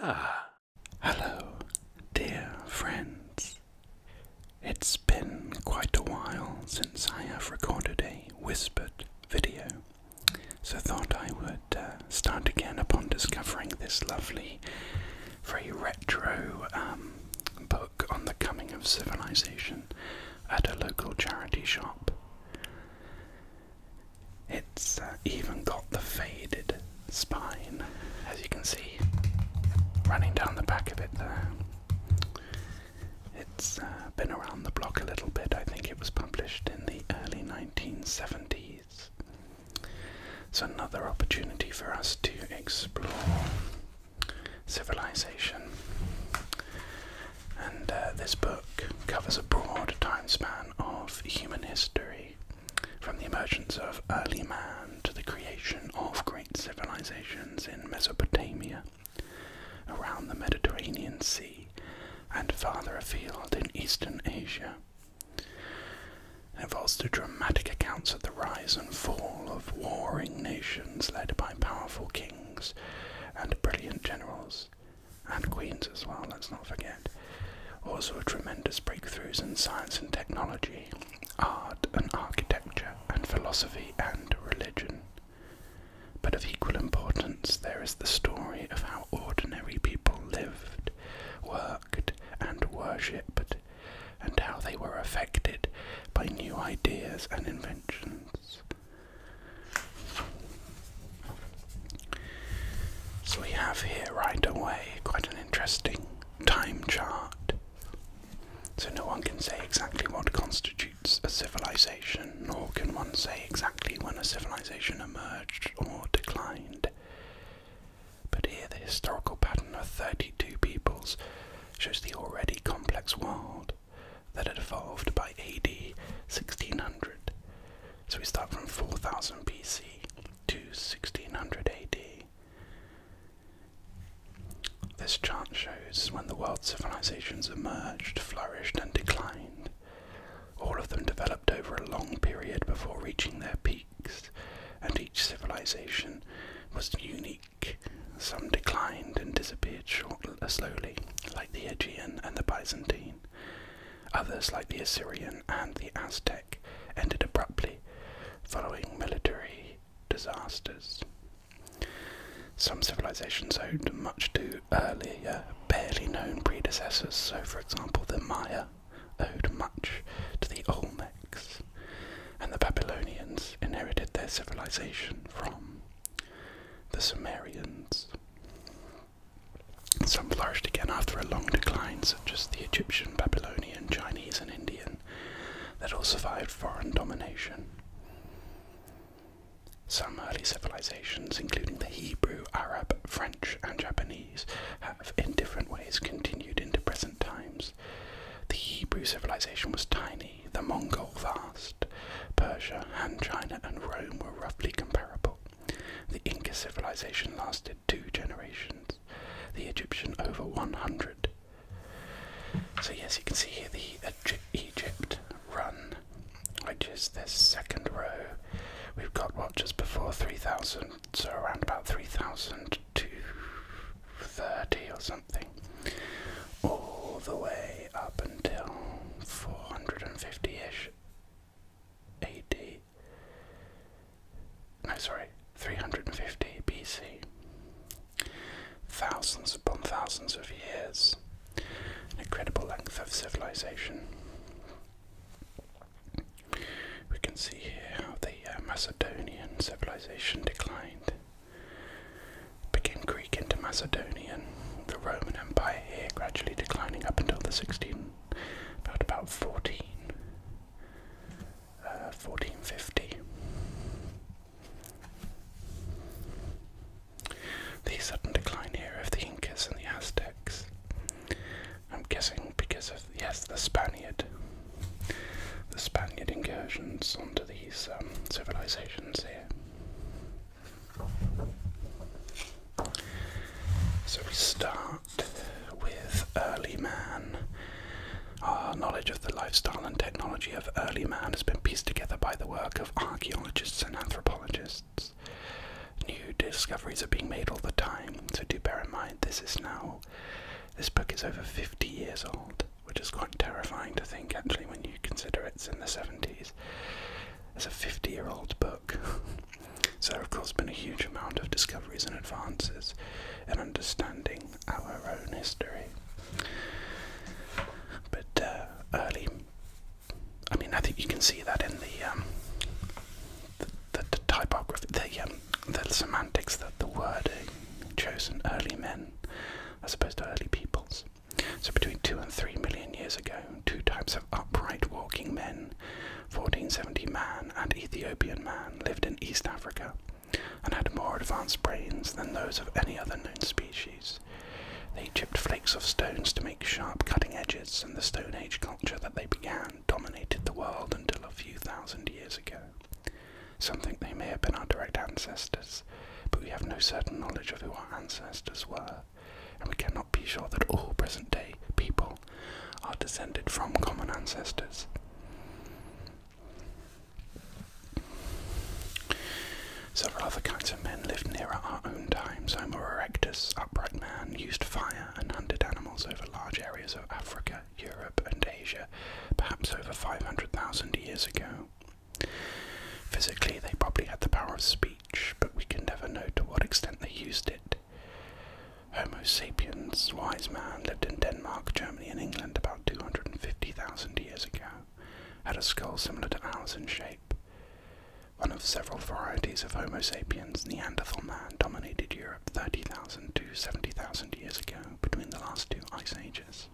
Ah, hello, dear friends. It's been quite a while since I have recorded a whispered video, so thought I would uh, start again upon discovering this lovely, very retro um, book on the coming of civilization at a local charity shop. It's uh, even got the faded spine, as you can see, running down the back of it there. It's uh, been around the block a little bit. I think it was published in the early 1970s. It's another opportunity for us to explore civilization and uh, this book covers a broad timespan of human history, from the emergence of early man to the creation of great civilizations in Mesopotamia, around the Mediterranean Sea, and farther afield in Eastern Asia. It involves the dramatic accounts of the rise and fall of warring nations led by powerful kings and brilliant generals, and queens as well, let's not forget. Also, tremendous breakthroughs in science and technology, art and architecture, and philosophy and religion. But of equal importance, there is the story of how ordinary people lived, worked, and worshipped, and how they were affected by new ideas and inventions. So we have here right away quite an interesting time chart. So no one can say exactly what constitutes a civilization, nor can one say exactly when a civilization emerged or declined. But here the historical pattern of 32 peoples shows the already complex world that had evolved by AD 1600 so we start from 4000 BC to 1600 AD. This chart shows when the world's civilizations emerged, flourished, and declined. All of them developed over a long period before reaching their peaks, and each civilization was unique. Some declined and disappeared slowly, like the Aegean and the Byzantine, Others, like the Assyrian and the Aztec, ended abruptly following military disasters. Some civilizations owed much to earlier, barely known predecessors, so, for example, the Maya owed much to the Olmecs, and the Babylonians inherited their civilization from the Sumerians. Some flourished again after a long decline, such as the Egyptian, Babylonian, Chinese, and Indian, that all survived foreign domination. Some early civilizations, including the Hebrew, Arab, French, and Japanese, have in different ways continued into present times. The Hebrew civilization was tiny, the Mongol vast, Persia and China and Rome were roughly comparable. The Inca civilization lasted two generations, the Egyptian over 100. So, yes, you can see here the Egypt run, which is this second row. We've got what just before 3000, so around about 3,000 to 30 or something, all the way up until 450 ish AD. No, sorry, 350 BC. Thousands upon thousands of years. An incredible length of civilization. We can see here how the uh, Macedonian civilization declined. Became Greek into Macedonian. The Roman Empire here gradually declining up until the 16 about about 14, uh, The sudden decline here of the Incas and the Aztecs. I'm guessing because of yes, the Spaniard, the Spaniard incursions onto these um, civilizations here. So we start with early man. Our knowledge of the lifestyle and technology of early man has been pieced together by the work of archaeologists and anthropologists. New discoveries are being made all the time, so do bear in mind this is now. This book is over 50 years old, which is quite terrifying to think actually when you consider it's in the 70s is it's a 50 year old book. so, of course, been a huge amount of discoveries and advances in understanding our own history. But uh, early, I mean, I think you can see that in the um, the, typography, the um, the semantics, that the wording chosen early men as opposed to early peoples. So between two and three million years ago, two types of upright walking men. 1470 man and Ethiopian man lived in East Africa and had more advanced brains than those of any other known species. They chipped flakes of stones to make sharp cutting edges, and the Stone Age culture that they began dominated the world until a few thousand years ago. Some think they may have been our direct ancestors, but we have no certain knowledge of who our ancestors were, and we cannot be sure that all present day people are descended from common ancestors. Several other kinds of men lived nearer our own times. Homo erectus, upright man, used fire and hunted animals over large areas of Africa, Europe, and Asia, perhaps over 500,000 years ago. Physically, they probably had the power of speech but we can never know to what extent they used it. Homo sapiens, wise man, lived in Denmark, Germany, and England about 250,000 years ago, had a skull similar to ours in shape. One of several varieties of Homo sapiens, Neanderthal man dominated Europe 30,000 to 70,000 years ago between the last two ice ages.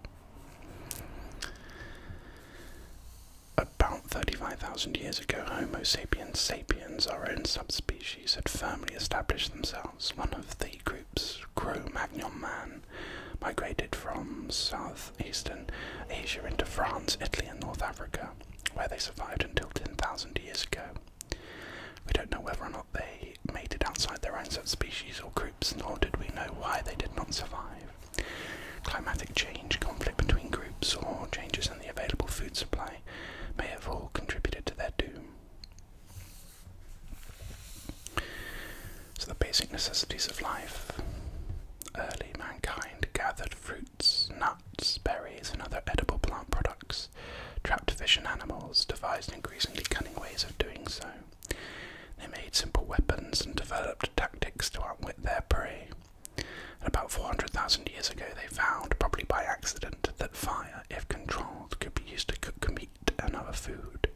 About 35,000 years ago, Homo sapiens sapiens, our own subspecies, had firmly established themselves. One of the groups, Cro Magnon man, migrated from southeastern Asia into France, Italy, and North Africa, where they survived until 10,000 years ago. We don't know whether or not they mated outside their own subspecies or groups, nor did we know why they did not survive. Climatic change, conflict between groups, or changes shortages the available food supply may have all contributed to their doom. So, the basic necessities of life. Early mankind gathered fruits, nuts, berries, and other edible plant products, trapped fish and animals, devised increasingly cunning ways of doing so. They made simple weapons and developed tactics to outwit their prey about 400,000 years ago, they found, probably by accident, that fire, if controlled, could be used to cook meat and other food.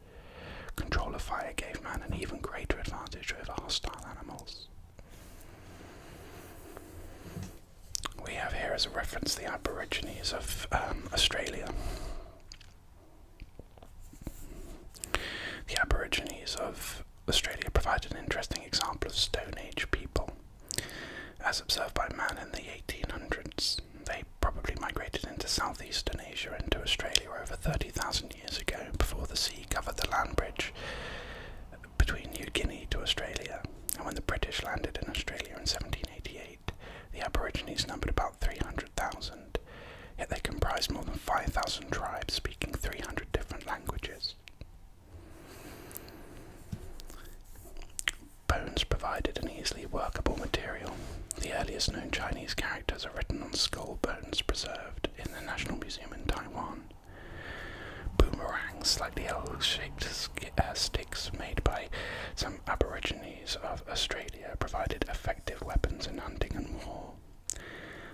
Control of fire gave man an even greater advantage over hostile animals. We have here as a reference the Aborigines of um, Australia. The Aborigines of Australia provides an interesting example of Stone Age people. As observed by man in the 1800s, they probably migrated into southeastern Asia and to Australia over 30,000 years ago before the sea covered the land bridge between New Guinea and Australia. And when the British landed in Australia in 1788, the Aborigines numbered about 300,000, yet they comprised more than 5,000 tribes speaking 300 different languages. Bones provided an easily workable material. The earliest known Chinese characters are written on skull bones preserved in the National Museum in Taiwan. Boomerangs, like the L-shaped uh, sticks made by some Aborigines of Australia, provided effective weapons in hunting and war.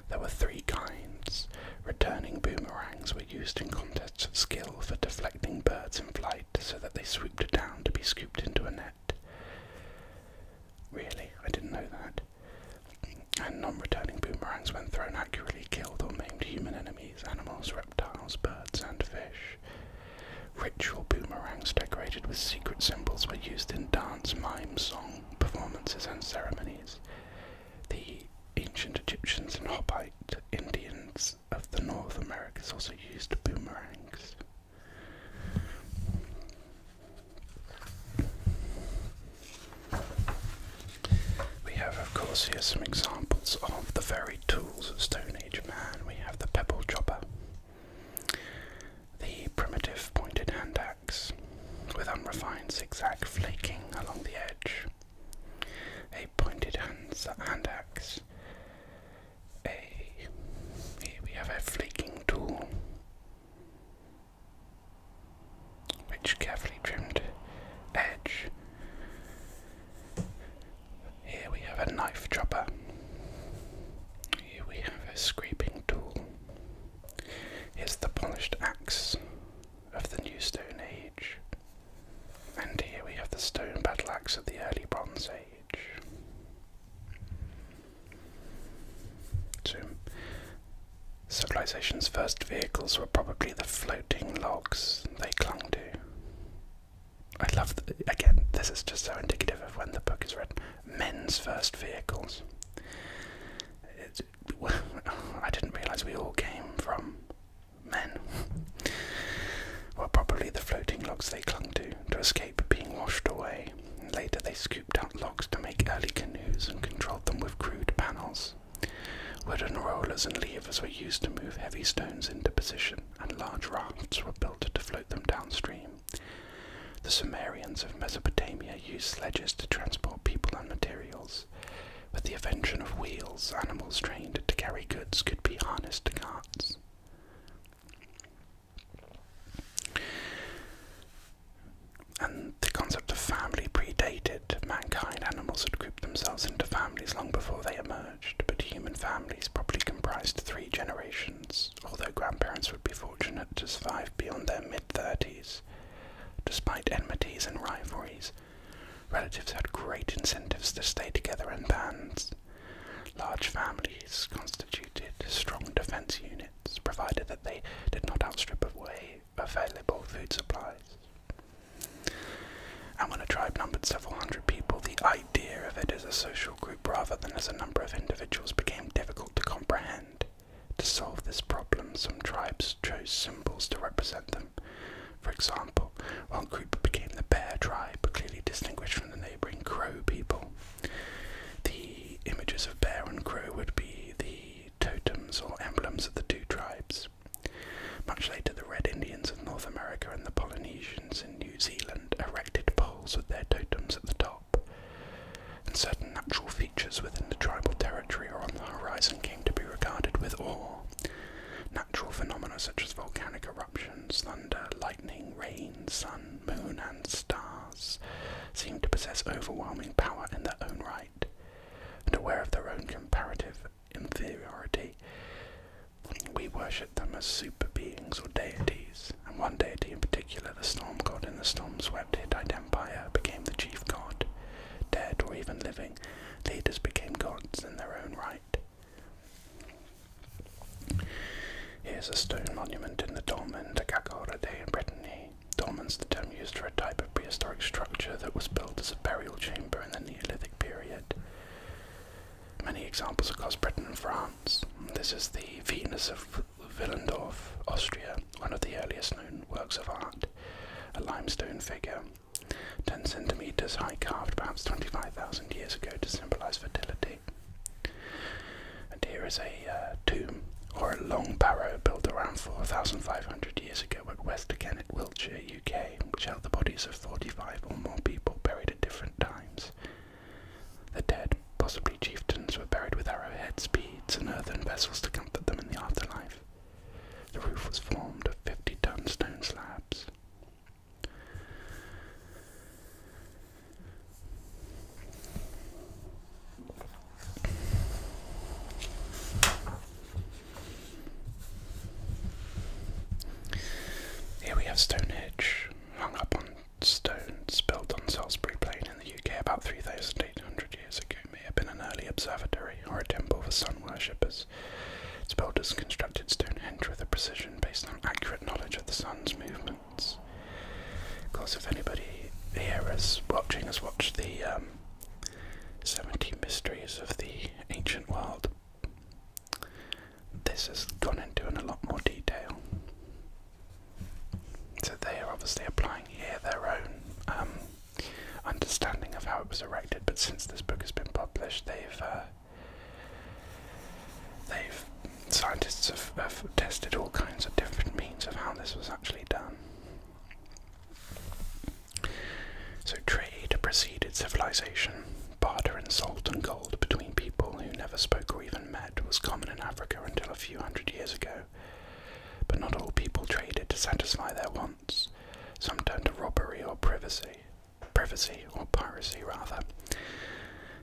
There were three kinds. Returning boomerangs were used in contests of skill for deflecting birds in flight so that they swooped down to be scooped into a net. Really? I didn't know that. And non returning boomerangs, when thrown accurately, killed or maimed human enemies, animals, reptiles, birds, and fish. Ritual boomerangs decorated with secret symbols were used in dance, mime, song, performances, and ceremonies. The ancient Egyptians and Hobbit Indians of the North Americas also used boomerangs. We have, of course, here some examples of the very tools of Stone Age man. We have the pebble chopper, the primitive pointed hand axe with unrefined zigzag flaking along the edge, a pointed hand axe, a here we have a flaking tool, which carefully trimmed edge. Here we have a knife dropper. Here we have a scraping tool. Here's the polished axe of the New Stone Age. And here we have the stone battle axe of the early Bronze Age. So, civilization's first vehicles were probably the floating logs they clung to. I love, again, this is just so indicative of when the book is read. Men's first vehicles. I didn't realize we all came from men. well, probably the floating logs they clung to to escape being washed away. Later, they scooped out logs to make early canoes and controlled them with crude panels. Wooden rollers and levers were used to move heavy stones into position, and large rafts were built to float them downstream. The Sumerians of Mesopotamia used sledges to transport people and materials. With the invention of wheels, animals trained to carry goods could be harnessed to carts. And the concept of family predated mankind. Animals had grouped themselves into families long before they emerged, but human families probably comprised three generations, although grandparents would be fortunate to survive beyond their mid 30s. Despite enmities and rivalries, Relatives had great incentives to stay together in bands. Large families constituted strong defense units, provided that they did not outstrip available food supplies. And when a tribe numbered several hundred people, the idea of it as a social group rather than as a number of individuals became difficult to comprehend. To solve this problem, some tribes chose symbols to represent them. For example, one group became the bear tribe, clearly distinguished from the neighbouring crow people. The images of bear and crow would be the totems or emblems of the two tribes. Much later, the Red Indians of North America and the Polynesians in New Zealand erected poles with their totems at the top, and certain natural features within the tribal territory or on the horizon came to be regarded with awe. Natural phenomena such as volcanic eruptions, thunder, lightning, rain, sun, moon, and stars seemed to possess overwhelming power in their own right, and aware of their own comparative inferiority. We worshipped them as super beings or deities, and one deity in particular, the storm god in the storm swept Hittite Empire, became the chief god, dead or even living, leaders became gods in their own right. Here's a stone monument in the Dolmen de Gagarade in Brittany. Dolmen's the term used for a type of prehistoric structure that was built as a burial chamber in the Neolithic period. Many examples across Britain and France. This is the Venus of Villendorf, Austria, one of the earliest known works of art. A limestone figure 10 centimeters high, carved perhaps 25,000 years ago to symbolize fertility. And here is a uh, tomb, or a long barrow, built around 4,500 years ago at West Kennet, Wiltshire, UK, which held the bodies of 45 or more people buried at different times. The dead, possibly chieftains, were buried with arrowheads, beads, and earthen vessels to comfort them in the afterlife. The roof was formed of 50 ton stone slabs. Here we have Stonehenge, hung up on stone, built on Salisbury Plain in the UK about 3,800 years ago may have been an early observatory or a temple for sun worshippers. Its builders constructed Stonehenge with a precision based on accurate knowledge of the sun's movements. Of course, if anybody here is watching has watched the um, 17 Mysteries of the Ancient World, this has gone into in a lot more detail. So they are obviously applying here their own um, understanding of how it was erected. But since this book has been published, they've uh, they've scientists have, have tested all kinds of different means of how this was actually done. So trade preceded civilization. Barter and salt and gold between people who never spoke or even met was common in Africa until a few hundred years ago. But not all people traded to satisfy their wants some turned to robbery or privacy, privacy or piracy rather.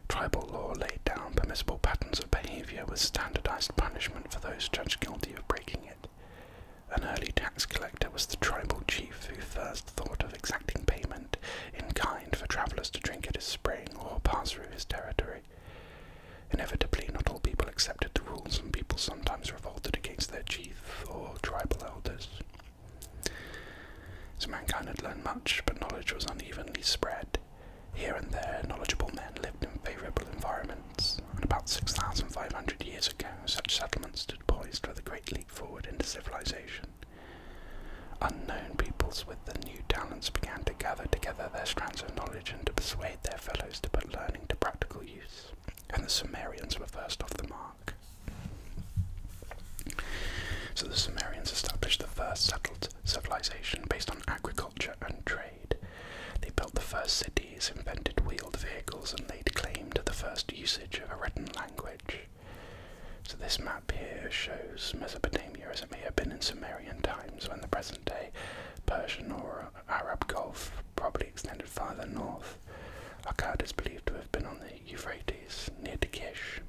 Tribal law laid down permissible patterns of behavior with standardized punishment for those judged guilty of breaking it. An early tax collector was the tribal chief who first thought of exacting payment in kind for travelers to drink at his spring or pass through his territory. Inevitably, not all people accepted the rules, and people sometimes revolted against their chief or tribal elders. So mankind had learned much, but knowledge was unevenly spread. Here and there, knowledgeable men lived in favourable environments, and about 6,500 years ago, such settlements stood poised for the great leap forward into civilisation. Unknown peoples with the new talents began to gather together their strands of knowledge and to persuade their fellows to put learning to practical use and the Sumerians were first off the mark. So the Sumerians established the first settled civilization based on agriculture and trade. They built the first cities, invented wheeled vehicles, and laid claim to the first usage of a written language. So this map here shows Mesopotamia as it may have been in Sumerian times when the present day Persian or Arab Gulf probably extended farther north. Akkad is believed to have been on the Euphrates near Takish.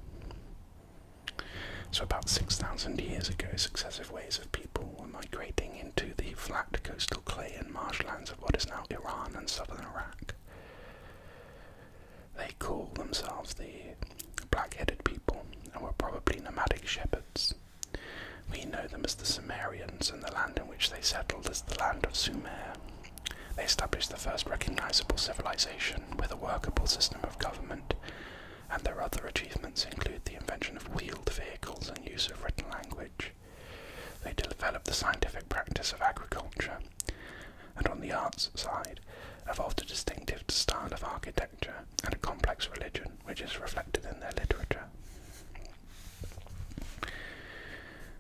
So, about 6,000 years ago, successive waves of people were migrating into the flat coastal clay and marshlands of what is now Iran and southern Iraq. They call themselves the black headed people and were probably nomadic shepherds. We know them as the Sumerians, and the land in which they settled as the land of Sumer. They established the first recognizable civilization with a workable system of government, and their other achievements include the invention of wheeled vehicles and use of written language. They developed the scientific practice of agriculture, and on the arts side, evolved a distinctive style of architecture and a complex religion which is reflected in their literature.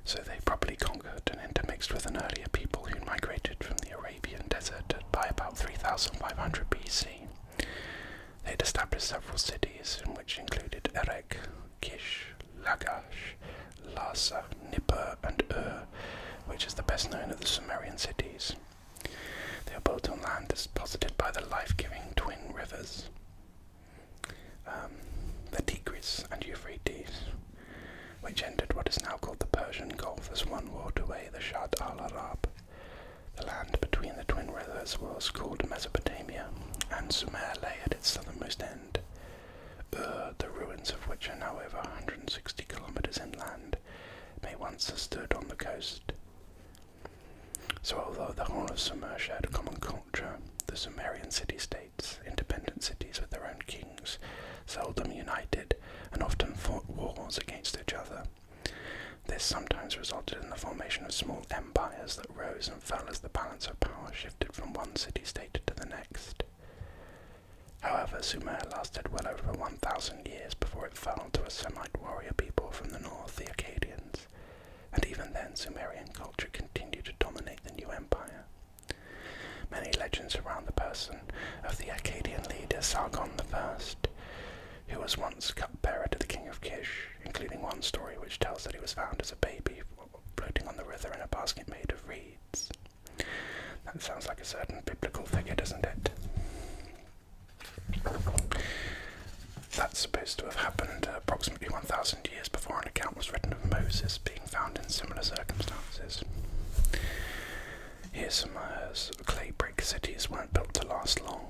So they probably conquered and intermixed with an earlier people who migrated from the Arabian desert by about 3500 BC. They established several cities, which included Erech, Kish, Lagash, Larsa, Nippur, and Ur, which is the best known of the Sumerian cities. They were built on land deposited by the life-giving twin rivers. Um, the Tigris and Euphrates, which entered what is now called the Persian Gulf as one waterway, the Shatt al Arab. The land between the twin rivers was called Mesopotamia, and Sumer lay at its southernmost end, Ur, the ruins of which are now over 160 kilometers inland, may once have stood on the coast. So although the whole of Sumer shared common the Sumerian city states, independent cities with their own kings, seldom united and often fought wars against each other. This sometimes resulted in the formation of small empires that rose and fell as the balance of power shifted from one city state to the next. However, Sumer lasted well over 1,000 years before it fell to a Semite warrior people from the north, the Akkadians and even then Sumerian culture continued to dominate the new empire. Many legends surround the person of the Akkadian leader Sargon I, who was once cupbearer to the king of Kish, including one story which tells that he was found as a baby floating on the river in a basket made of reeds. That sounds like a certain biblical figure, doesn't it? That's supposed to have happened approximately 1,000 years before an account was written of Moses being found in similar circumstances. Here's some uh, clay brick cities weren't built to last long.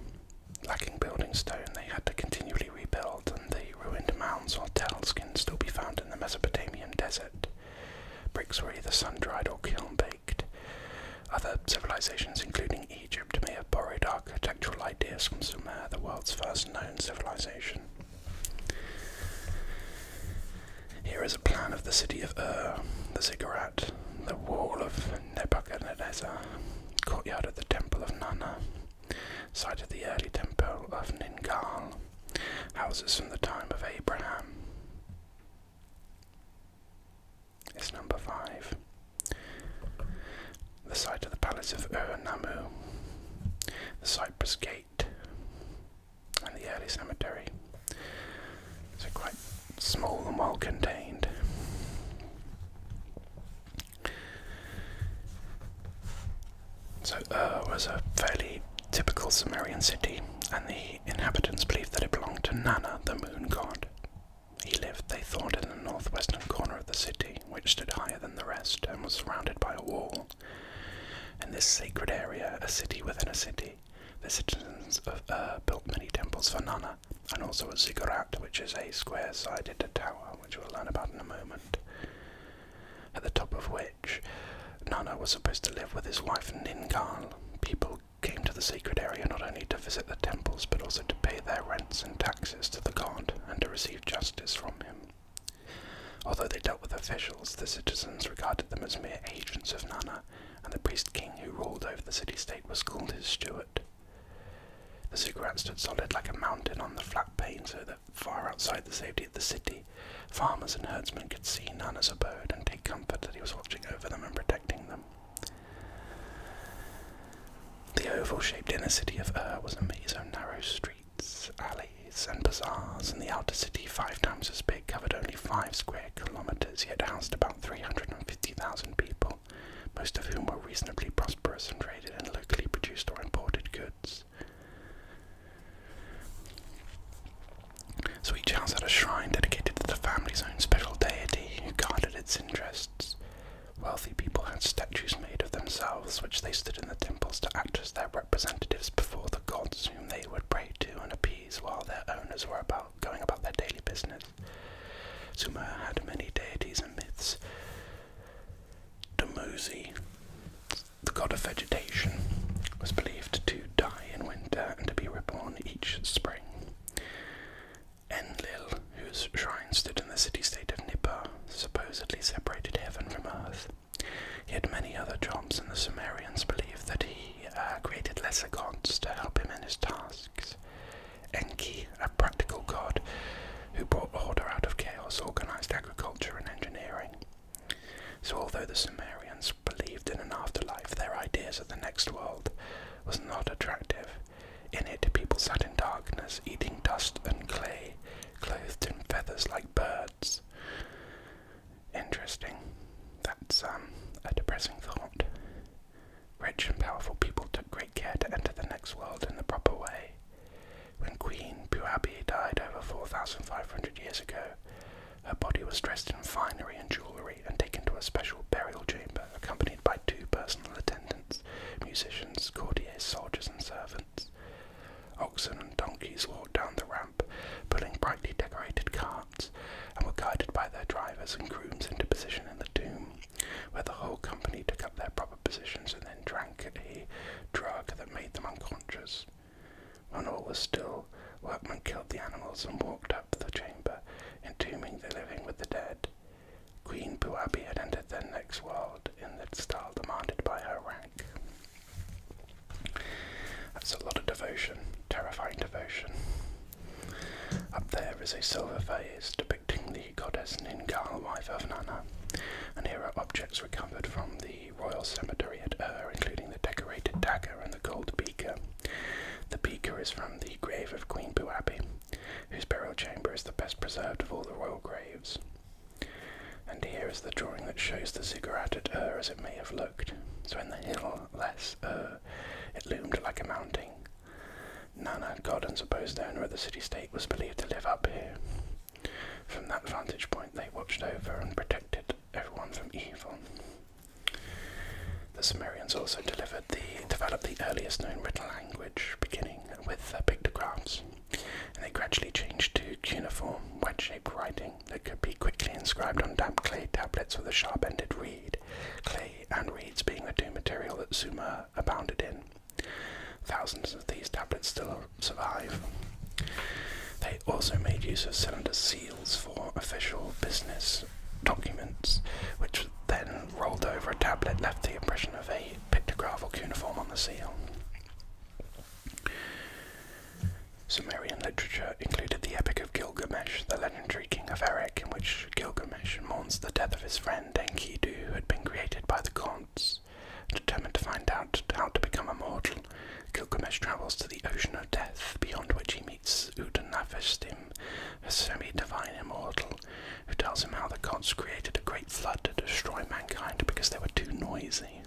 Lacking building stone, they had to continually rebuild, and the ruined mounds or tells can still be found in the Mesopotamian desert. Bricks were either sun dried or kiln baked. Other civilizations, including Egypt, may have borrowed architectural ideas from some of uh, the world's first known civilization. Here is a plan of the city of Ur, the ziggurat, the wall of Nebuchadnezzar, courtyard of the temple of Nanna, site of the early temple of Ningal, houses from the time of Abraham. It's number five the site of the palace of Ur Nammu, the Cypress Gate, and the early cemetery. So quite small and well contained. So Ur uh, was a fairly typical Sumerian city, and the inhabitants believed that it belonged to Nanna, the moon god. He lived, they thought, in the northwestern corner of the city which stood higher than the rest and was surrounded by a wall. In this sacred area, a city within a city, the citizens of Ur built many temples for Nana, and also a ziggurat, which is a square sided tower, which we'll learn about in a moment. At the top of which, Nana was supposed to live with his wife Ningal. People came to the sacred area not only to visit the temples but also to pay their rents and taxes to the god and to receive justice from him. Although they dealt with officials, the citizens regarded them as mere agents of Nana, and the priest king who ruled over the city state was called his steward. The ziggurat stood solid like a mountain on the flat plain, so that far outside the safety of the city, farmers and herdsmen could see Nana's abode and take comfort that he was watching over them and protecting them. The oval-shaped inner city of Ur was a maze of narrow streets, alleys, and bazaars, and the outer city, five times as big, covered only five square kilometers, yet housed about 350,000 people, most of whom were reasonably prosperous and traded in locally produced or imported goods. So each house had a shrine dedicated to the family's own special deity who guarded its interests. Wealthy people had statues made of themselves, which they stood in the temples to act as their representatives before the gods whom they would pray to and appease while their owners were about going about their daily business. Sumer had many deities and myths. Dumuzi, the god of vegetation, was believed to die in winter and to be reborn each spring. Enlil, whose shrine stood in the city-state of Nippur, supposedly separated heaven from earth. Yet many other gods and the Sumerians believed that he uh, created lesser gods to help him in his tasks. Enki, a practical god who brought order out of chaos, organized agriculture and engineering. So, although the Sumerians believed in an afterlife, their ideas of the next world was not attractive. In it, people sat in darkness, eating dust and clay, clothed in feathers like birds. Interesting. That's um, a depressing thought. Rich and powerful people took great care to enter the next world in the proper way. When Queen Puabi died over 4,500 years ago, her body was dressed in finery and jewellery and taken to a special burial chamber accompanied by two personal attendants, musicians, courtiers, soldiers, and servants. Oxen and donkeys walked down the ramp, pulling brightly decorated carts, and were guided by their drivers and grooms into position in the tomb, where the whole company took up their proper positions and then drank a drug that made them unconscious. When all was still, workmen killed the animals and walked up the chamber, entombing the living with the dead. Queen Puabi had entered the next world in the style demanded by her rank. That's a lot of devotion, terrifying devotion. Up there is a silver vase depicting the goddess Ningal, wife of Nana, and here are objects recovered from the royal cemetery at Ur, including the decorated dagger and the gold beaker. The beaker is from the grave of Queen Puabi, whose burial chamber is the best preserved of all the royal graves. And here is the drawing that shows the ziggurat at Ur as it may have looked. So in the hill Ur, it loomed like a mountain. Nana, god and supposed owner of the city-state, was believed to live up here. From that vantage point they watched over and protected everyone from evil. The Sumerians also developed the earliest known written language, beginning with their pictographs and they gradually changed to cuneiform, wedge-shaped writing that could be quickly inscribed on damp clay tablets with a sharp-ended reed, clay and reeds being the two material that Sumer abounded in. Thousands of these tablets still survive. They also made use of cylinder seals for official business documents, which then rolled over a tablet left the impression of a pictograph or cuneiform on the seal. Sumerian literature included the Epic of Gilgamesh, the legendary king of Erech, in which Gilgamesh mourns the death of his friend Enkidu, who had been created by the gods. Determined to find out how to become immortal, Gilgamesh travels to the Ocean of Death, beyond which he meets Utanafishtim, a semi-divine immortal who tells him how the gods created a great flood to destroy mankind because they were too noisy.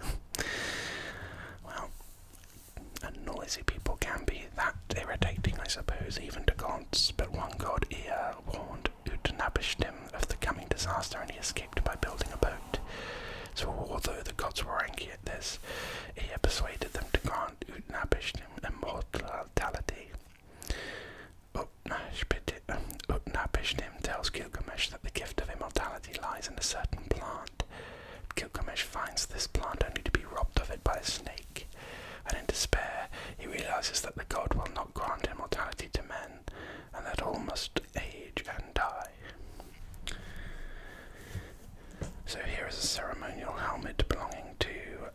well, and noisy people can be that irritating, I suppose, even to gods. But one god, Ea, warned Utnapishtim of the coming disaster and he escaped by building a boat. So, although the gods were angry at this, Ea persuaded them to grant Utnapishtim immortality. Utnapishtim um, tells Gilgamesh that the gift of immortality lies in a certain plant. Gilgamesh finds this plant only to be robbed of it by a snake, and in despair he realizes that the god will not grant immortality to men, and that all must age and die. So here is a ceremonial helmet belonging to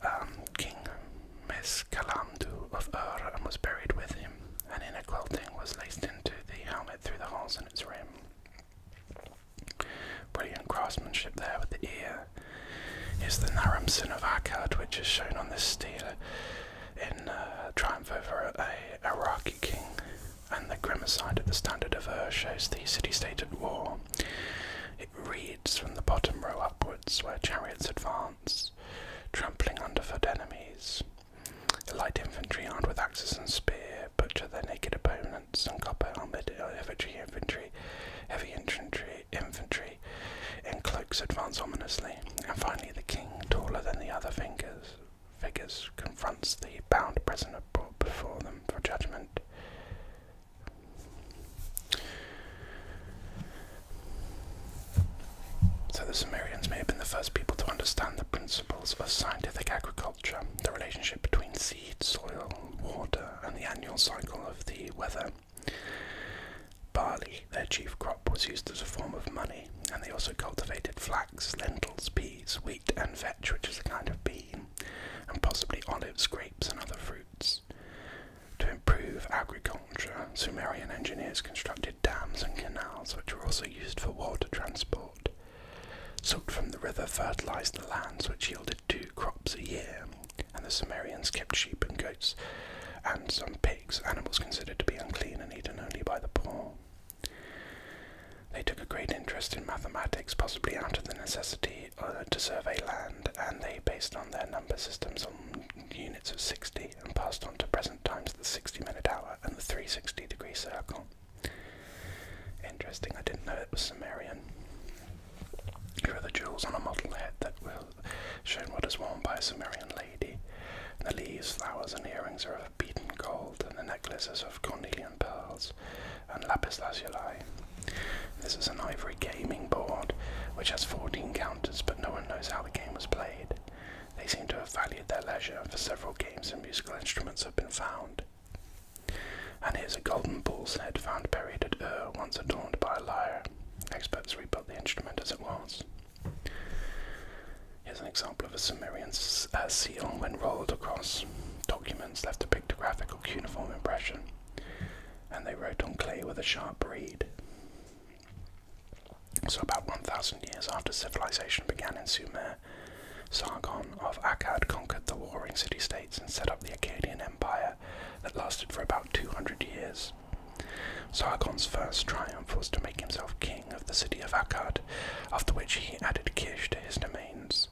um, King Meskalamdu of Ur and was buried with him. An inner quilting was laced into the helmet through the holes in its rim. Brilliant craftsmanship there with the ear. Is the Naramsin of Akkad, which is shown on this stele in uh, Triumph over a Iraqi king, and the side of the Standard of Ur shows the city-state at war. It reads from the bottom row upwards, where chariots advance trampling underfoot enemies. light infantry armed with axes and spear butcher their naked opponents, and copper armoured infantry, infantry, heavy infantry, infantry in cloaks advance ominously, and finally the king, taller than the other fingers, figures, confronts the bound prisoner brought before them for judgment. So the Sumerians may have been the first people to understand the principles of scientific agriculture, the relationship between seed, soil, water, and the annual cycle of the weather. Barley, their chief crop, was used as a form of money, and they also cultivated flax, lentils, peas, wheat, and vetch, which is a kind of bean, and possibly olives, grapes, and other fruits. To improve agriculture, Sumerian engineers constructed dams and canals which were also used for water transport. Silt from the river fertilized the lands which yielded two crops a year, and the Sumerians kept sheep and goats and some pigs, animals considered to be unclean and eaten only by the poor. They took a great interest in mathematics, possibly out of the necessity uh, to survey land, and they based on their number systems on units of 60 and passed on to present times the 60 minute hour and the 360 degree circle. Interesting, I didn't know it was Sumerian. Here are the jewels on a model head that will shown what is worn by a Sumerian lady. The leaves, flowers, and earrings are of beaten gold, and the necklaces of cornelian pearls and lapis lazuli. This is an ivory gaming board which has 14 counters, but no one knows how the game was played. They seem to have valued their leisure, for several games and musical instruments have been found. And here's a golden bull's head found buried at Ur, once adorned by a lyre. Experts rebuilt the instrument as it was. Here's an example of a Sumerian uh, seal when rolled across documents left a pictographic or cuneiform impression, and they wrote on clay with a sharp reed. So, about 1,000 years after civilization began in Sumer, Sargon of Akkad conquered the warring city states and set up the Akkadian Empire that lasted for about 200 years. Sargon's first triumph was to make himself king of the city of Akkad, after which he added Kish to his domains.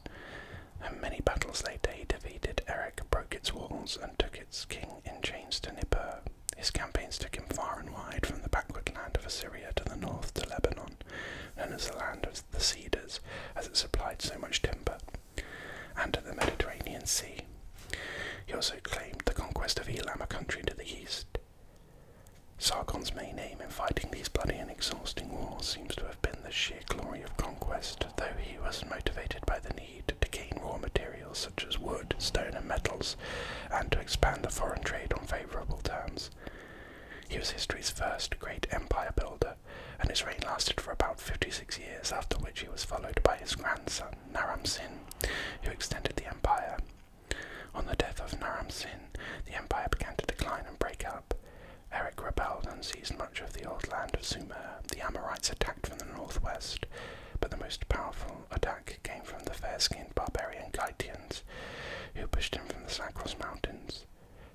And many battles later, he defeated Erech, broke its walls, and took its king in chains to Nippur. His campaigns took him far and wide, from the backward land of Assyria to the north to Lebanon, known as the land of the cedars, as it supplied so much timber, and to the Mediterranean Sea. He also claimed the conquest of Elam, a country to the east. Sargon's main aim in fighting these bloody and exhausting wars seems to have been the sheer glory of conquest, though he was motivated by the need to gain raw materials such as wood, stone, and metals and to expand the foreign trade on favourable terms. He was history's first great empire builder, and his reign lasted for about 56 years, after which he was followed by his grandson, Naram Sin, who extended the empire. On the death of Naram Sin, the empire began to decline and break up. Eric rebelled and seized much of the old land of Sumer. The Amorites attacked from the northwest, but the most powerful attack came from the fair-skinned barbarian Gytians, who pushed him from the Cycros mountains.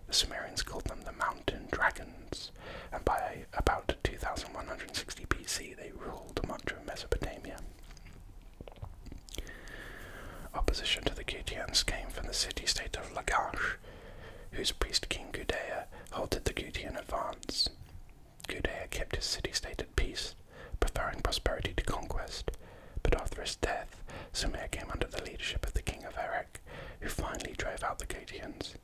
The Sumerians called them the Mountain Dragons, and by about 2160 BC they ruled much of Mesopotamia. Opposition to the Gutians came from the city-state of Lagash, whose priest king Gudea halted the Gutian advance. Gudea kept his city-state at peace, preferring prosperity to conquest, but after his death, Sumer came under the leadership of the king of Erech, who finally drove out the Gadians.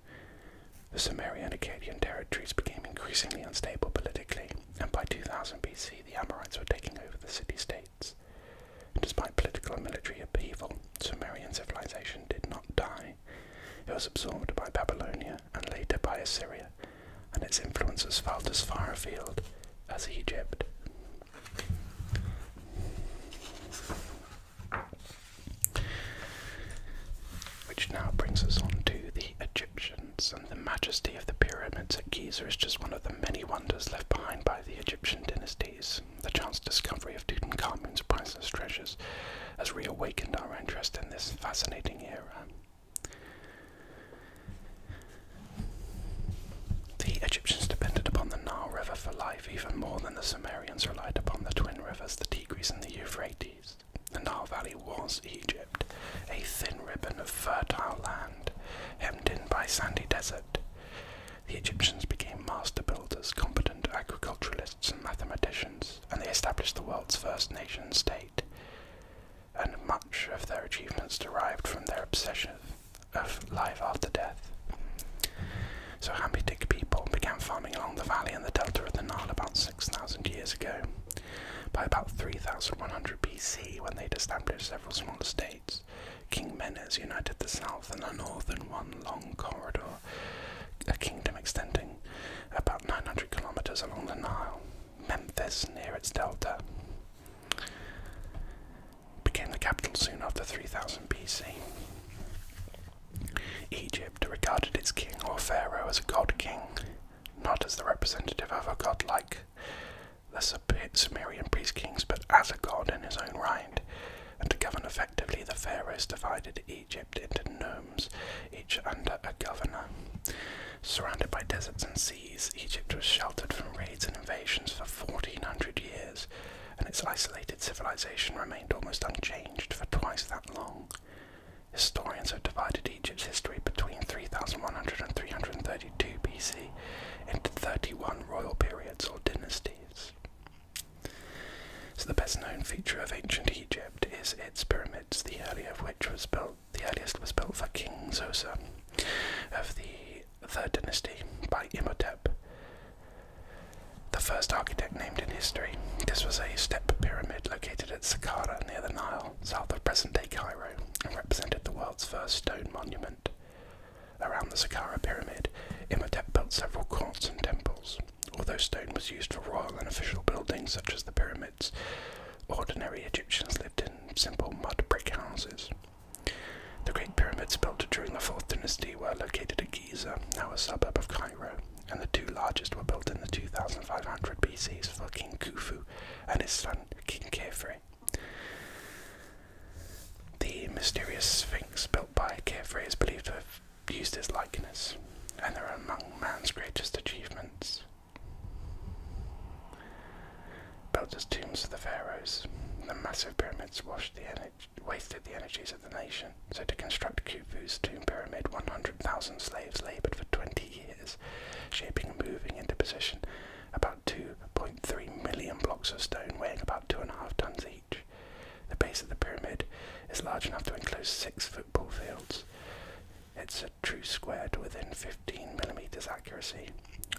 The Sumerian Akkadian territories became increasingly unstable politically, and by 2000 BC the Amorites were taking over the city-states. Despite political and military upheaval, Sumerian civilization did not die. It was absorbed by Babylonia and later by Assyria, and its influence influences felt as far afield as Egypt. Which now brings us on to the Egyptians, and the majesty of the pyramids at Giza is just one of the many wonders left behind by the Egyptian dynasties. The chance discovery of Tutankhamen's priceless treasures has reawakened our interest in this fascinating era. The Egyptians depended upon the Nile River for life even more than the Sumerians relied upon the twin rivers, the Tigris and the Euphrates. The Nile Valley was Egypt, a thin ribbon of fertile land hemmed in by sandy desert. The Egyptians became master builders, competent agriculturalists, and mathematicians, and they established the world's first nation state and much of their achievements derived from their obsession of life after death. So Hampitic people began farming along the valley and the delta of the Nile about 6,000 years ago. By about 3100 BC, when they'd established several small states, King Menes united the south and the north in one long corridor, a kingdom extending about 900 kilometers along the Nile. Memphis near its delta. Became the capital soon after 3000 BC. Egypt regarded its king or pharaoh as a god king, not as the representative of a god godlike the Sumerian priest kings, but as a god in his own right. And to govern effectively, the pharaohs divided Egypt into nomes, each under a governor. Surrounded by deserts and seas, Egypt was sheltered from raids and invasions for 1400 years, and its isolated civilization remained almost unchanged for twice that long. Historians have divided Egypt's history between 3100 and 332 BC into 31 royal periods or dynasties. So, the best known feature of ancient Egypt is its pyramids, the earliest of which was built the earliest was built for King Zoser of the Third Dynasty by Imhotep, the first architect named in history. This was a step pyramid located at Saqqara near the Nile, south of present-day Cairo, and represented the world's first stone monument. Around the Saqqara pyramid, Imhotep built several courts and temples. Although stone was used for royal and official buildings such as the pyramid, Ordinary Egyptians lived in simple mud brick houses. The Great Pyramids built during the Fourth Dynasty were located at Giza, now a suburb of Cairo, and the two largest were built in the 2500 BCs for King Khufu and his son King Khafre. The mysterious Sphinx built by Khafre is believed to have used his likeness, and they're among man's greatest achievements. Built as tombs for the pharaohs, the massive pyramids wasted the energies of the nation. So to construct Khufu's tomb pyramid, 100,000 slaves laboured for 20 years, shaping and moving into position about 2.3 million blocks of stone weighing about 2.5 tons each. The base of the pyramid is large enough to enclose six football fields true squared within 15 millimeters accuracy,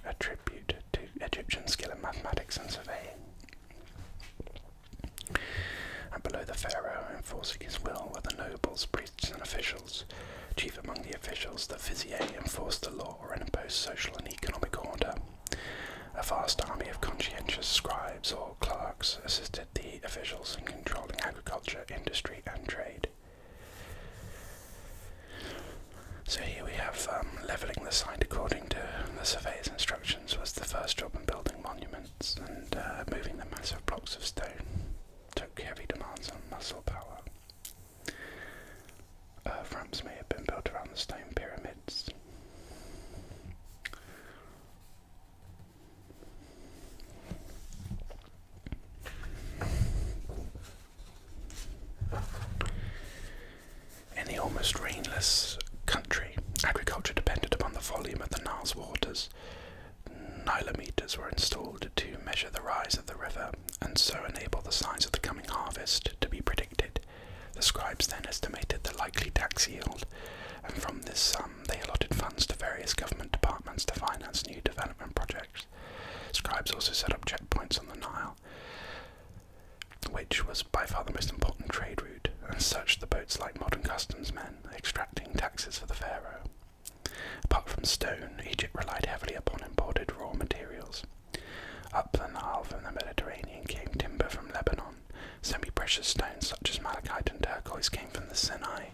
a tribute to Egyptian skill in mathematics and surveying. And below the pharaoh, enforcing his will, were the nobles, priests, and officials. Chief among the officials, the vizier enforced the law or imposed social and economic order. A vast army of conscientious scribes or clerks assisted the officials in controlling agriculture, industry, and trade. So here we have um, levelling the site according to the surveyor's instructions was the first job in building monuments, and uh, moving the massive blocks of stone took heavy demands on muscle power. Uh, ramps may have been built around the stone pyramids. In the almost rainless country, agriculture depended upon the volume of the Nile's waters. Nilometers were installed to measure the rise of the river and so enable the size of the coming harvest to be predicted. The scribes then estimated the likely tax yield, and from this sum they allotted funds to various government departments to finance new development projects. Scribes also set up checkpoints on the Nile, which was by far the most important trade route, and searched the boats like modern customs men, extracting taxes for the pharaoh. Apart from stone, Egypt relied heavily upon imported raw materials. Up the Nile from the Mediterranean came timber from Lebanon. Semi precious stones such as malachite and turquoise came from the Sinai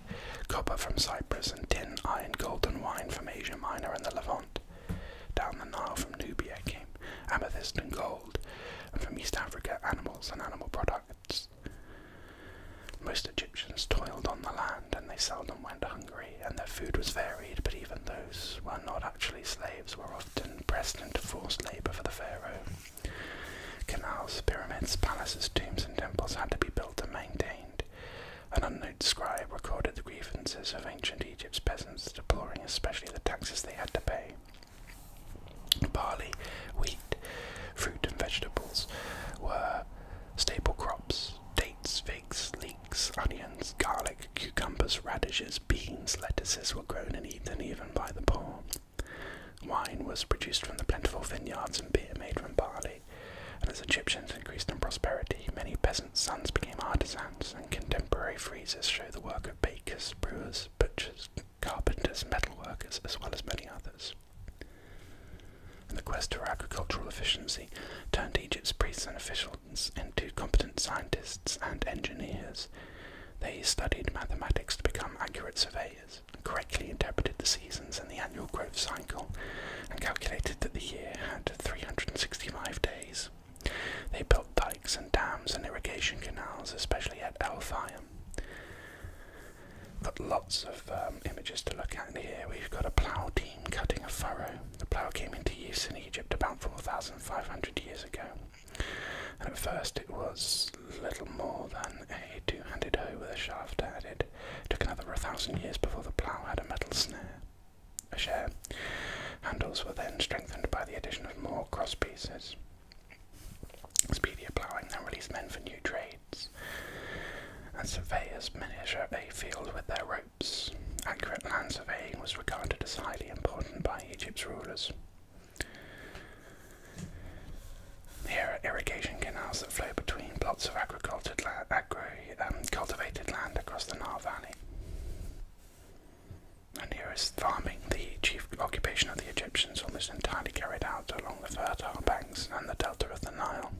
copper from Cyprus, and tin, iron, gold, and wine from Asia Minor and the Levant. Down the Nile from Nubia came amethyst and gold, and from East Africa animals and animal products. Most Egyptians toiled on the land, and they seldom went hungry, and their food was varied, but even those who were not actually slaves were often pressed into forced labour for the pharaoh. Canals, pyramids, palaces, tombs, and temples had to be built and maintained. An unknown scribe recorded the grievances of ancient Egypt's peasants, deploring especially the taxes they had to pay. Barley, wheat, fruit, and vegetables were staple crops. Dates, figs, leeks, onions, garlic, cucumbers, radishes, beans, lettuces were grown and eaten even by the poor. Wine was produced from the plentiful vineyards and beer made from barley and as Egyptians increased in prosperity, many peasants' sons became artisans, and contemporary friezes show the work of bakers, brewers, butchers, carpenters, metalworkers, as well as many others. And the quest for agricultural efficiency turned Egypt's priests and officials into competent scientists and engineers. They studied mathematics to become accurate surveyors and correctly interpreted the seasons in the annual growth cycle and calculated that the year had 365 days. They built dikes and dams and irrigation canals, especially at Eltham. Got lots of um, images to look at here. We've got a plough team cutting a furrow. The plough came into use in Egypt about 4,500 years ago. at first it was little more than a two-handed hoe with a shaft added took another thousand years before the plough had a metal snare. share. Handles were then strengthened by the addition of more crosspieces. pieces. Speedier ploughing then released men for new trades, and surveyors measure a field with their ropes. Accurate land surveying was regarded as highly important by Egypt's rulers. Here are irrigation canals that flow between plots of agricultural land, agri um, cultivated land across the Nile Valley. And here is farming, the chief occupation of the Egyptians, almost entirely carried out along the fertile banks and the delta of the Nile.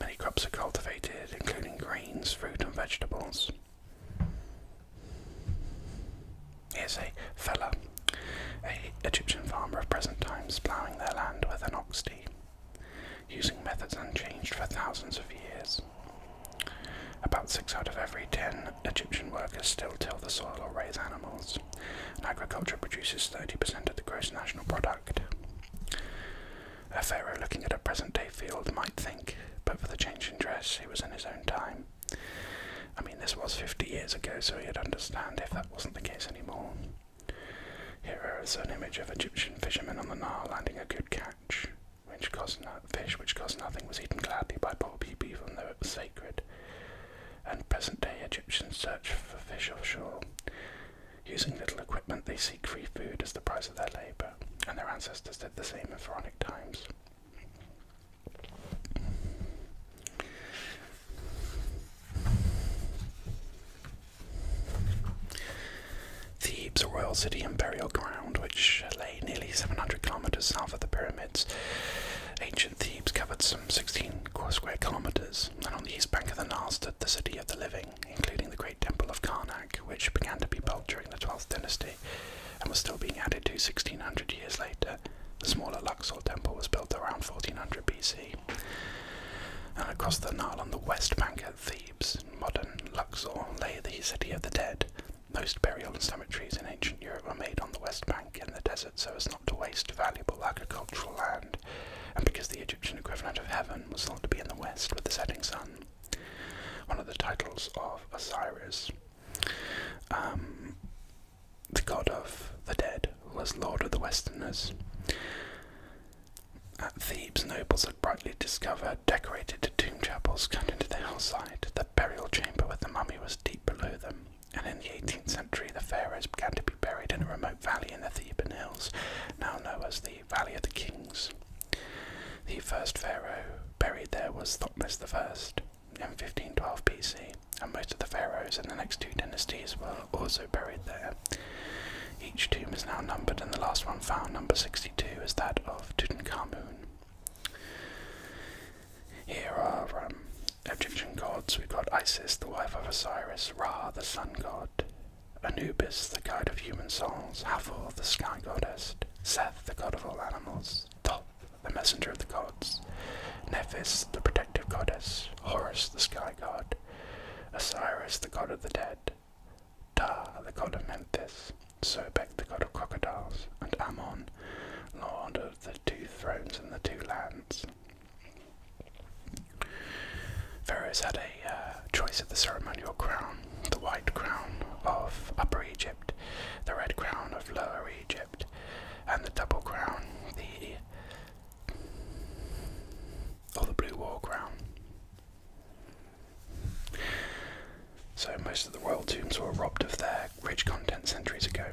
Many crops are cultivated, including grains, fruit, and vegetables. Here's a fella, a Egyptian farmer of present times, ploughing their land with an ox team using methods unchanged for thousands of years. About six out of every ten Egyptian workers still till the soil or raise animals, agriculture produces 30% of the gross national product. A pharaoh looking at a present day field might think, but for the change in dress, he was in his own time. I mean, this was 50 years ago, so he'd understand if that wasn't the case anymore. Here is an image of Egyptian fishermen on the Nile landing a good catch, fish which cost nothing was eaten gladly by poor people even though it was sacred. And present day Egyptians search for fish offshore. Using little equipment they seek free food as the price of their labour, and their ancestors did the same in pharaonic times. Thebes, a royal city and burial ground which lay nearly 700 kilometres south of the pyramids. Ancient Thebes covered some 16 square kilometres, and on the east bank of the Nile stood the city of the living, including the great temple of Karnak, which began to be built during the 12th dynasty and was still being added to 1600 years later. The smaller Luxor temple was built around 1400 BC. And across the Nile on the west bank at Thebes, modern Luxor, lay the city of the dead. Most burial and cemeteries in ancient Europe were made on the west bank in the desert so as not to waste valuable agricultural land, and because the Egyptian equivalent of heaven was thought to be in the west with the setting sun. One of the titles of Osiris, um, the god of the dead, was lord of the Westerners. At Thebes, nobles had brightly discovered decorated tomb chapels cut into the hillside. The burial chamber with the mummy was deep below them, and in the 18th century, the pharaohs began to be buried in a remote valley in the Theban hills, now known as the Valley of the Kings. The first pharaoh buried there was Thotmes I in 1512 BC, and most of the pharaohs in the next two dynasties were also buried there. Each tomb is now numbered, and the last one found, number 62, is that of Tutankhamun. Here are um, Egyptian gods. We've got Isis, the wife of Osiris, Ra, the sun god, Anubis, the guide of human souls, Hathor, the sky goddess, Seth, the god of all animals, Thoth, the messenger of the gods, Nephis, the protective goddess, Horus, the sky god, Osiris, the god of the dead, Ta, the god of Memphis, Sobek, the god of crocodiles, and Ammon, lord of the two thrones and the two lands. Pharaohs had a uh, choice of the ceremonial crown, the white crown of Upper Egypt, the red crown of Lower Egypt, and the double crown, the or the blue war crown. So most of the royal tombs were robbed of their rich content centuries ago,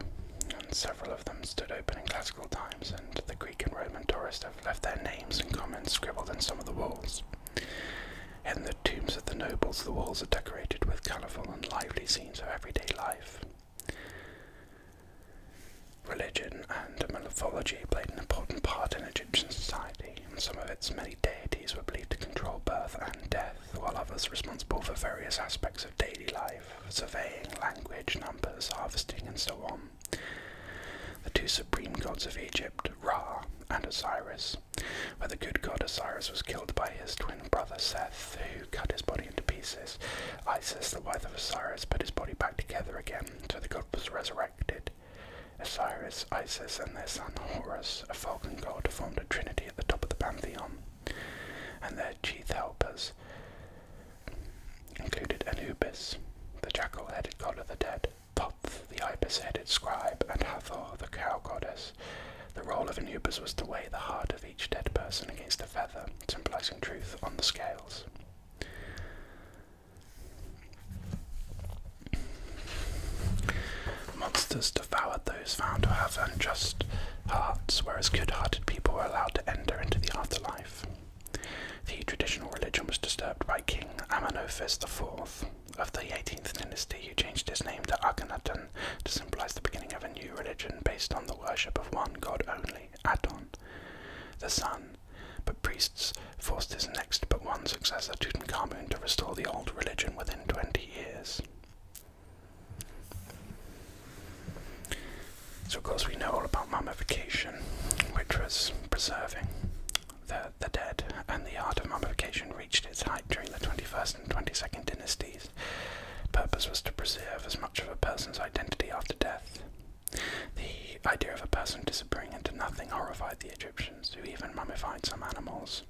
and several of them stood open in classical times, and the Greek and Roman tourists have left their names and comments scribbled in some of the walls. In the tombs of the nobles, the walls are decorated with colourful and lively scenes of everyday life. Religion and mythology played an important part in Egyptian society. Some of its many deities were believed to control birth and death, while others responsible for various aspects of daily life, surveying, language, numbers, harvesting, and so on. The two supreme gods of Egypt, Ra and Osiris, where the good god Osiris was killed by his twin brother Seth, who cut his body into pieces. Isis, the wife of Osiris, put his body back together again so the god was resurrected. Osiris, Isis, and their son Horus, a falcon god, formed a trinity at the top of the pantheon, and their chief helpers included Anubis, the jackal-headed god of the dead, Thoth, the ibis-headed scribe, and Hathor, the cow goddess. The role of Anubis was to weigh the heart of each dead person against a feather, symbolizing truth on the scales. Monsters devoured those found to have unjust hearts, whereas good hearted people were allowed to enter into the afterlife. The traditional religion was disturbed by King Amenophis IV of the 18th dynasty, who changed his name to Akhenaten to symbolize the beginning of a new religion based on the worship of one god only, Aton, the sun but priests forced his next but one successor, Tutankhamun, to restore the old religion within 20 years. So, of course, we know all about mummification, which was preserving the, the dead, and the art of mummification reached its height during the 21st and 22nd dynasties. Purpose was to preserve as much of a person's identity after death the idea of a person disappearing into nothing horrified the Egyptians, who even mummified some animals.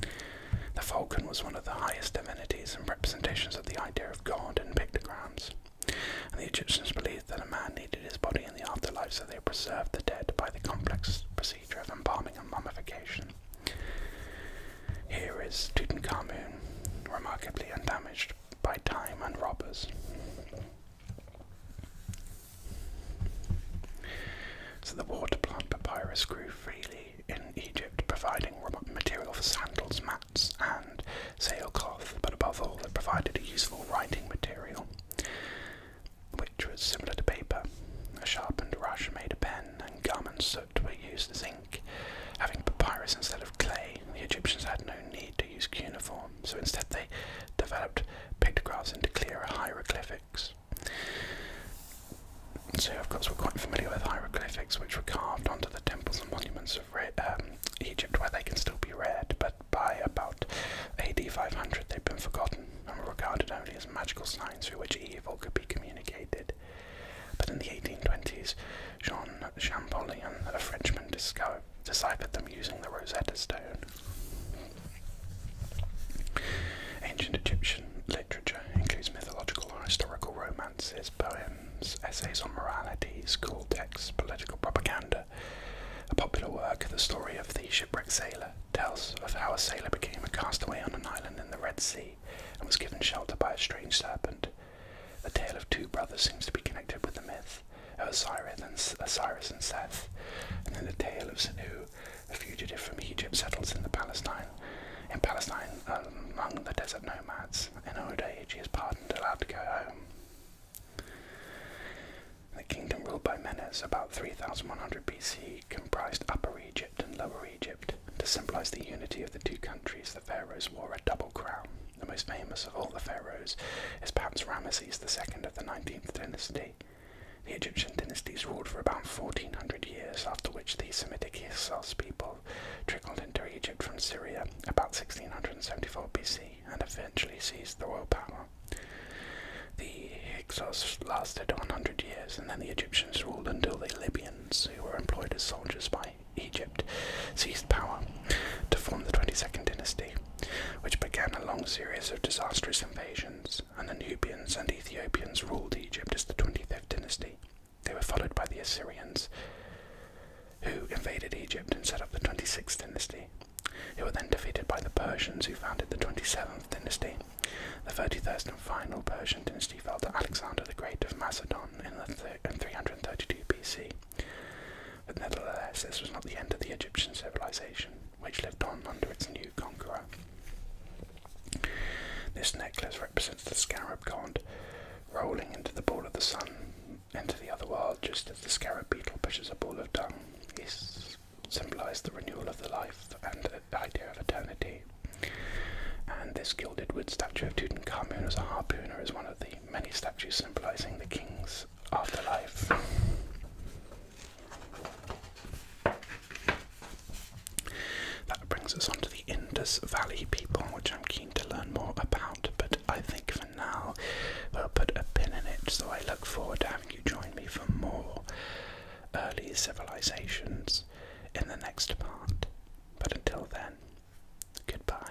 The falcon was one of the highest divinities and representations of the idea of God in pictograms, and the Egyptians believed that a man needed his body in the afterlife, so they preserved the dead by the complex procedure of embalming and mummification. Here is Tutankhamun, remarkably undamaged by time and robbers. So the water plant papyrus grew freely in Egypt, providing material for sandals, mats, and sailcloth, but above all, it provided a useful writing material, which was similar to paper. A sharpened rush made a pen, and gum and soot were used as ink. Having papyrus instead of clay, the Egyptians had no need to use cuneiform so instead they developed pictographs into clearer hieroglyphics. So, of course, we're quite familiar with hieroglyphics, which were carved onto the temples and monuments of um, Egypt, where they can still be read, but by about AD 500 they've been forgotten and were regarded only as magical signs through which evil could be communicated. But in the 1820s, Jean Champollion, a Frenchman, discovered deciphered them using the Rosetta Stone. Ancient Egyptian literature includes mythological or historical romances, poems, essays on morality, school texts, political propaganda. A popular work, The Story of the Shipwrecked Sailor, tells of how a sailor became a castaway on an island in the Red Sea and was given shelter by a strange serpent. The tale of two brothers seems to be connected with the myth, Osiris and, Osiris and Seth, and then the tale of Sanu, a fugitive from Egypt, settles in the Palestine. In Palestine, um, among the desert nomads, in old age he is pardoned, allowed to go home. The kingdom ruled by Menes, about 3100 BC, comprised Upper Egypt and Lower Egypt. To symbolize the unity of the two countries, the pharaohs wore a double crown. The most famous of all the pharaohs is perhaps Ramesses II of the 19th dynasty. The Egyptian dynasties ruled for about 1400 years, after which the Semitic Hyksos people trickled into Egypt from Syria about 1674 BC and eventually seized the royal power. The Hyksos lasted 100 years, and then the Egyptians ruled until the Libyans, who were employed as soldiers by Egypt, seized power to form the 22nd dynasty which began a long series of disastrous invasions, and the Nubians and Ethiopians ruled Egypt as the 25th dynasty. They were followed by the Assyrians, who invaded Egypt and set up the 26th dynasty. They were then defeated by the Persians, who founded the 27th dynasty. The 31st and final Persian dynasty fell to Alexander the Great of Macedon in 332 BC. But nevertheless, this was not the end of the Egyptian civilization, which lived on under its new conqueror. This necklace represents the scarab god rolling into the ball of the sun, into the other world, just as the scarab beetle pushes a ball of dung. He symbolized the renewal of the life and the idea of eternity. And this gilded wood statue of Tutankhamun as a harpooner is one of the many statues symbolizing the kings afterlife. That brings us on to the Indus Valley people, which I'm keen to learn more about, but I think for now we'll put a pin in it, so I look forward to having you join me for more early civilizations in the next part. But until then, goodbye.